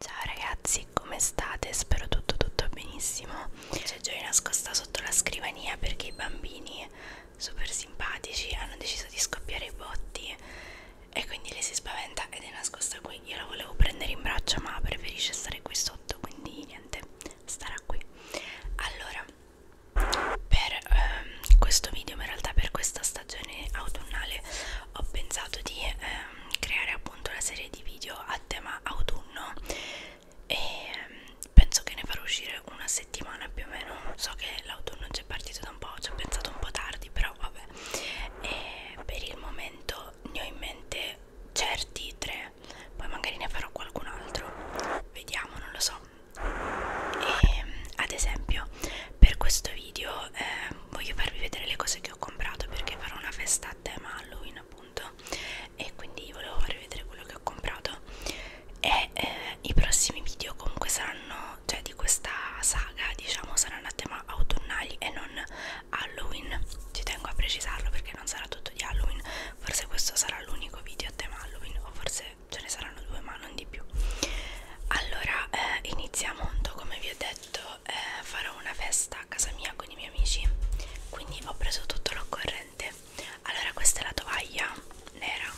Ciao ragazzi, come state? Spero tutto tutto benissimo. C'è Joy nascosta sotto la scrivania perché i bambini super simpatici hanno deciso di scoppiare i botti e quindi lei si spaventa ed è nascosta qui. Io la volevo prendere in braccio ma preferisce stare qui sotto, quindi niente, starà qui. Allora, per ehm, questo video ma in realtà per questa stagione autunnale ho pensato di ehm, creare appunto una serie di video a tema autunno e ehm, penso che ne farò uscire una settimana più o meno so che l'autunno già è partito da un po' ci ho pensato un po' tardi però vabbè e per il momento ne ho in mente certi tre poi magari ne farò qualcun altro vediamo non lo so e ad esempio per questo video eh, voglio farvi vedere le cose che ho comprato perché farò una festa a tema Halloween appunto e quindi volevo farvi vedere quello che ho comprato e eh, i prossimi video comunque saranno cioè di questa saga diciamo saranno a tema autunnali e non Halloween ci tengo a precisarlo perché non sarà tutto di Halloween forse questo sarà l'unico video a tema Halloween o forse ce ne saranno due ma non di più allora eh, iniziamo appunto come vi ho detto eh, farò una festa a casa mia con i miei amici quindi ho preso tutto l'occorrente allora questa è la tovaglia nera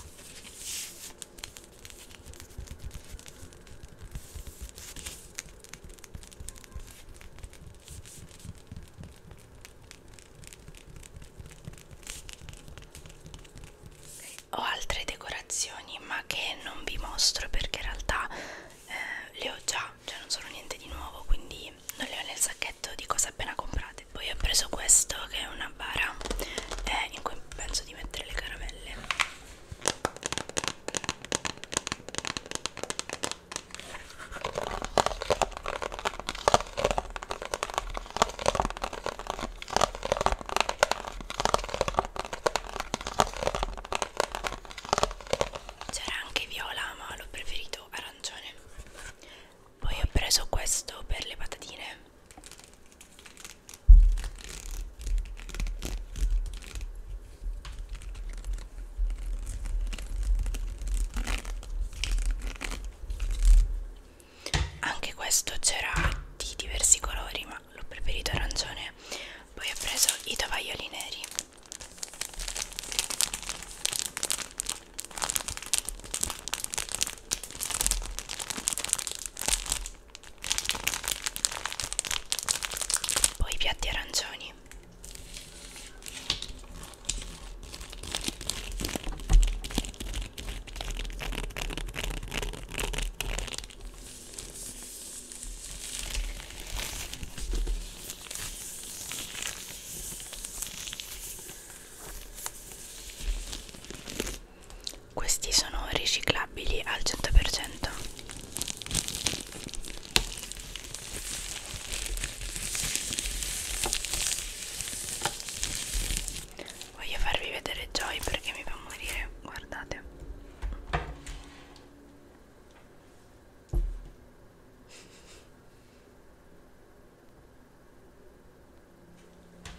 ho altre decorazioni ma che non vi mostro perché in realtà eh, le ho già, cioè non sono niente di nuovo quindi non le ho nel sacchetto di cose appena comprate. Poi ho preso questo che è una bara eh, in cui penso di mettere le caramelle. C'era anche viola, ma l'ho preferito arancione. Poi ho preso questo per le patatine anche questo c'era di diversi colori ma l'ho preferito arancione poi ho preso i tovaglioli neri poi i piatti arancioni questi sono riciclabili al 100%. Voglio farvi vedere Joy perché mi fa morire, guardate.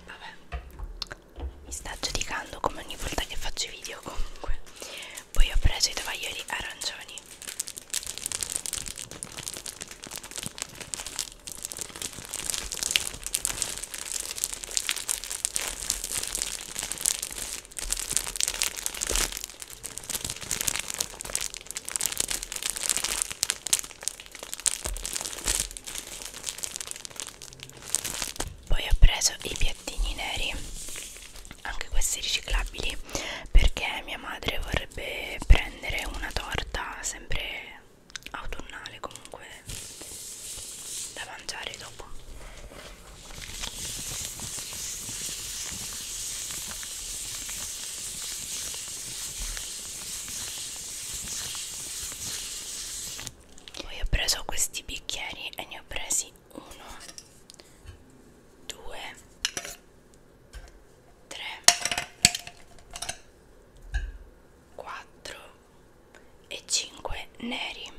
Vabbè, mi sta giudicando come ogni volta che faccio i video comunque. Poi ho preso i tovaglioli arancioni. Poi ho preso i piattini neri, anche questi riciclabili, perché mia madre vorrebbe prendere prendere una torta sempre autunnale comunque da mangiare dopo poi ho preso questi bicchieri e ne ho presi uno, due, 3 4 e 5 neri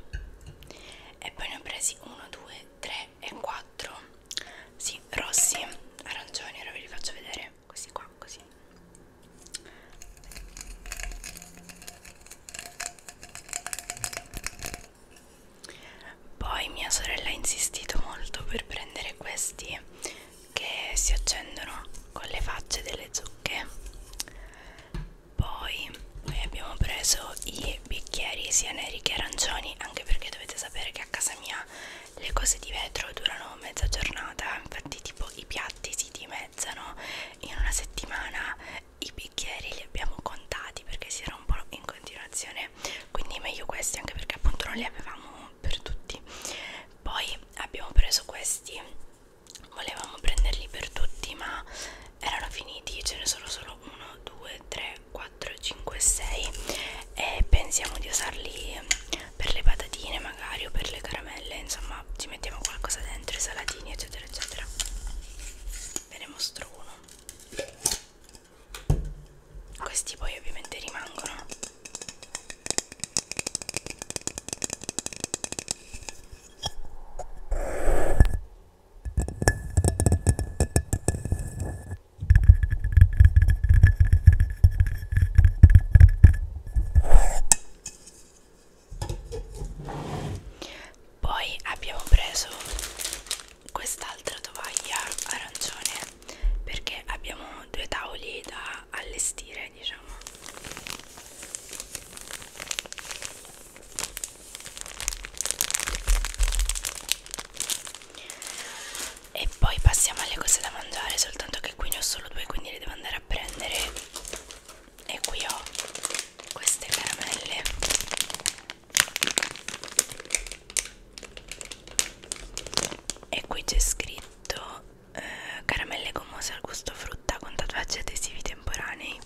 e poi ne ho presi 1 2 3 e 4 sì rossi arancioni ora ve li faccio vedere questi qua così poi mia sorella ha insistito molto per prendere questi che si accendono con le facce delle zucche poi noi abbiamo preso i bicchieri sia neri che arancioni anche perché dovete sapere che a casa mia le cose di vetro durano mezza giornata infatti tipo i piatti si dimezzano in una settimana i bicchieri li abbiamo contati perché si rompono in continuazione quindi meglio questi anche perché appunto non li avevamo per tutti poi abbiamo preso questi volevamo prenderli per tutti ma erano finiti ce ne sono solo 1 2 3 4 5 6 e pensiamo di usarli per le patatine magari o per le caramelle insomma ci mettiamo qualcosa dentro i salatini eccetera eccetera ve ne mostro uno questi poi ovviamente rimangono poi abbiamo preso quest'altra tovaglia arancione perché abbiamo due tavoli da allestire diciamo e poi passiamo alle cose da mangiare soltanto che qui ne ho solo due quindi le devo andare a prendere e qui ho queste caramelle e qui c'è scritto eh, caramelle gommose al gusto frutta con tatuaggi adesivi temporanei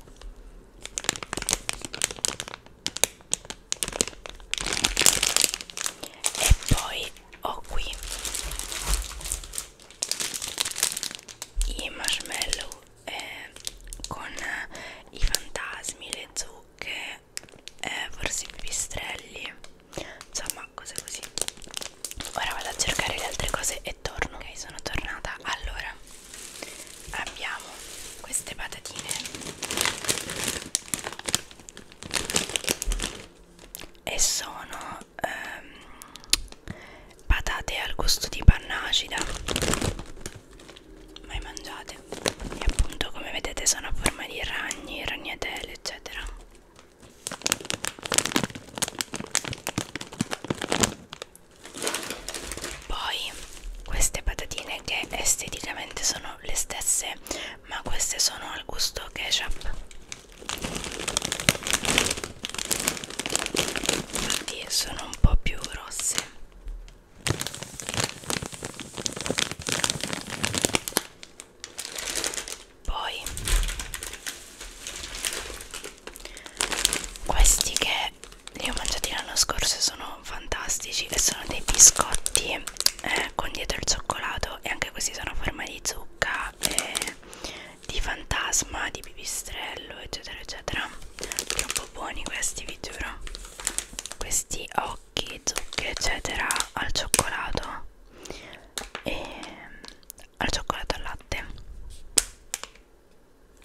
e poi ho qui i marshmallow eh, con i fantasmi, le zucche, eh, forse i pipistrelli insomma cose così ora vado a cercare le altre cose e torno ok sono tornata allora abbiamo queste patatine e sono ehm, patate al gusto di panna acida mai mangiate e appunto come vedete sono a forma di ragni, ragnatele eccetera poi queste patatine che esteticamente sono le stesse ma queste sono al gusto ketchup quindi sono un po' più rosse poi questi che li ho mangiati l'anno scorso sono fantastici e sono dei biscotti eh, con dietro il cioccolato e anche questi sono a forma di zucca e eh, di fantasma di pipistrello eccetera eccetera troppo buoni questi vi giuro questi ho chicchi, zucche eccetera al cioccolato e al cioccolato al latte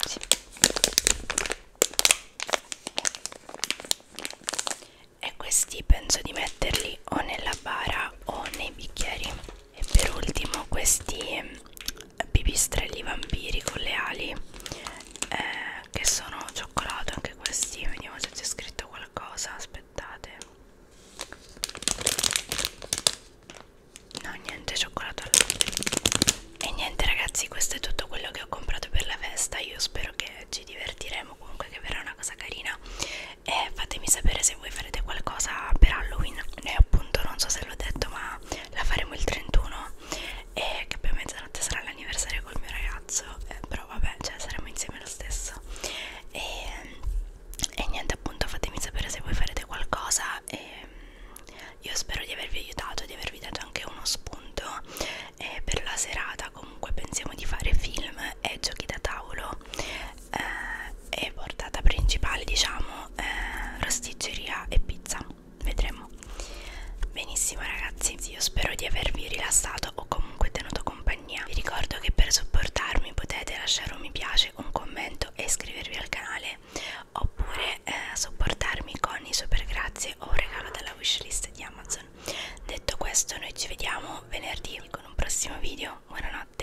sì. e questi penso di metterli o nella bara o nei bicchieri e per ultimo questi mm, pipistrelli vampiri con le ali eh, che sono cioccolato anche questi vediamo se c'è scritto qualcosa aspettate no niente cioccolato al e niente ragazzi questo è tutto quello che ho comprato per la festa io spero che ci divertiremo comunque che verrà una cosa carina e fatemi sapere se voi farete qualcosa per Halloween noi appunto non so se l'ho detto ma la faremo il 31 sera e che poi a mezzanotte sarà l'anniversario col mio ragazzo eh, però vabbè cioè saremo insieme lo stesso e, e niente appunto fatemi sapere se voi farete qualcosa e mm, io spero di avervi aiutato di avervi dato anche uno spunto eh, per la serata comunque pensiamo di fare film e giochi da tavolo eh, e portata principale diciamo eh, rosticceria e pizza vedremo benissimo ragazzi io spero di avervi rilassato o comunque tenuto compagnia vi ricordo che per supportarmi potete lasciare un mi piace un commento e iscrivervi al canale oppure eh, supportarmi con i super grazie o un regalo dalla wishlist di amazon detto questo noi ci vediamo venerdì con un prossimo video buonanotte